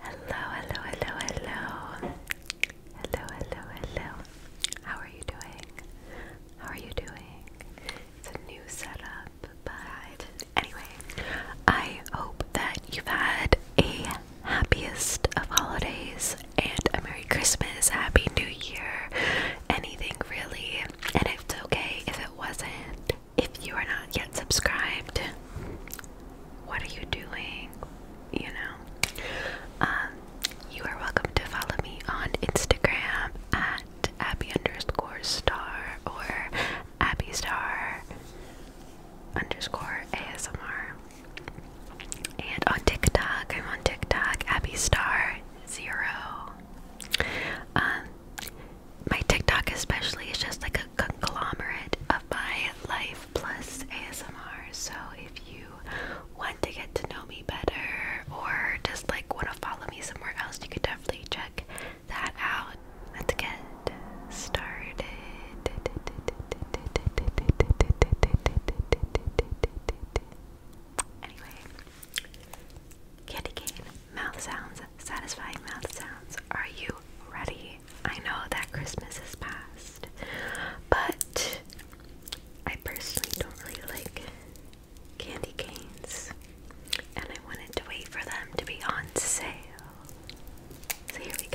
Hello, hello, hello, hello. Hello, hello, hello. How are you doing? How are you doing? It's a new setup, but anyway, I hope that you've had a happiest of holidays and a Merry Christmas, Happy New Year, anything really. And it's okay if it wasn't if you are not yet subscribed, what are you doing? You know, um, you are welcome to follow me on Instagram at Abby underscore star or Abby star underscore ASMR. And on TikTok, I'm on TikTok, Abby Star Zero. Um, my TikTok especially is just like a conglomerate of my life plus ASMR. So if you want to get to know me better or just like want to follow me somewhere else, you could definitely check that out. Let's get started. Anyway, candy cane mouth sounds, satisfying mouth sounds. Are you ready? I know that Christmas is past, but I personally don't really like candy canes, and I wanted to wait for them to be on sale. So here we go.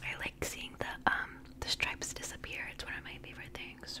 I like seeing the um the stripes disappear. It's one of my favorite things.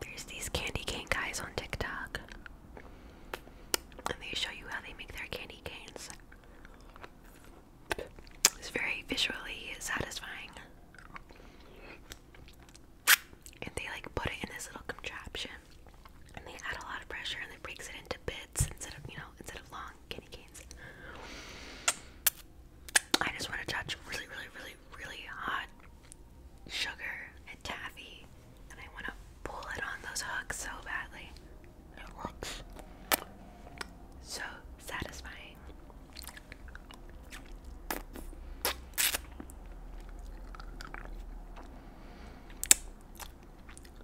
There's these candy cane guys on TikTok, and they show you how they make their candy canes. It's very visually satisfying. And they like put it in this little contraption, and they add a lot of pressure, and it breaks it into bits instead of you know instead of long candy canes. I just want to touch really, really, really, really hot sugar and taffy, and I want to pull it on those hooks so badly. It looks so satisfying.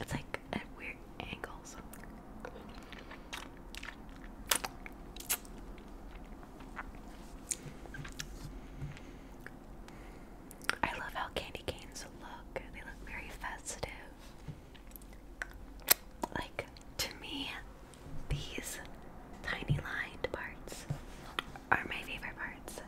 It's like at weird angles. I love how candy canes look. They look very festive. Like, to me, these tiny lined parts are my favorite parts.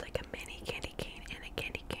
Like a mini candy cane and a candy cane.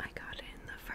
I got in the fur.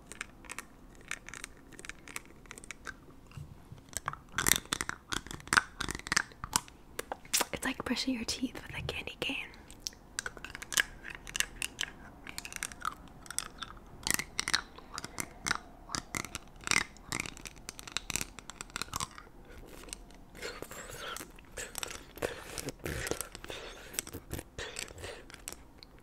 It's like brushing your teeth with a candy cane.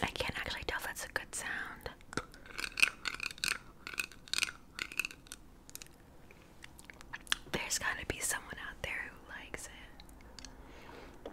I can't actually tell if that's a good sound. There's gotta be someone out there who likes it.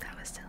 That was silly.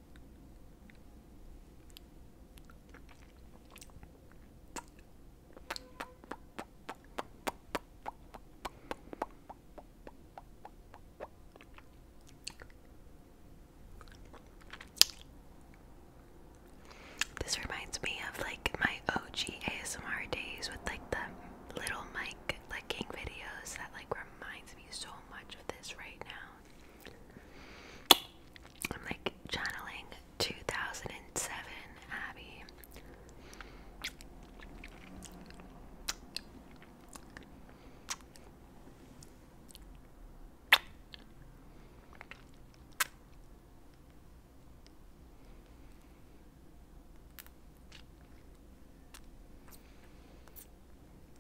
This reminds me of like my OG ASMR days with like the little mic licking videos that like reminds me so much of this right now. I'm like channeling 2007 Abby.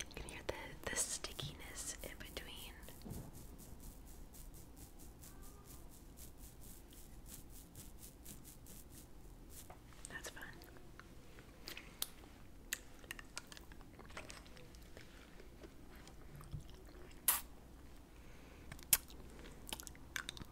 You can hear the, the stickiness in between. That's fun.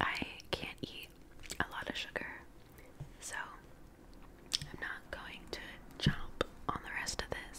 I can't eat a lot of sugar, so I'm not going to jump on the rest of this.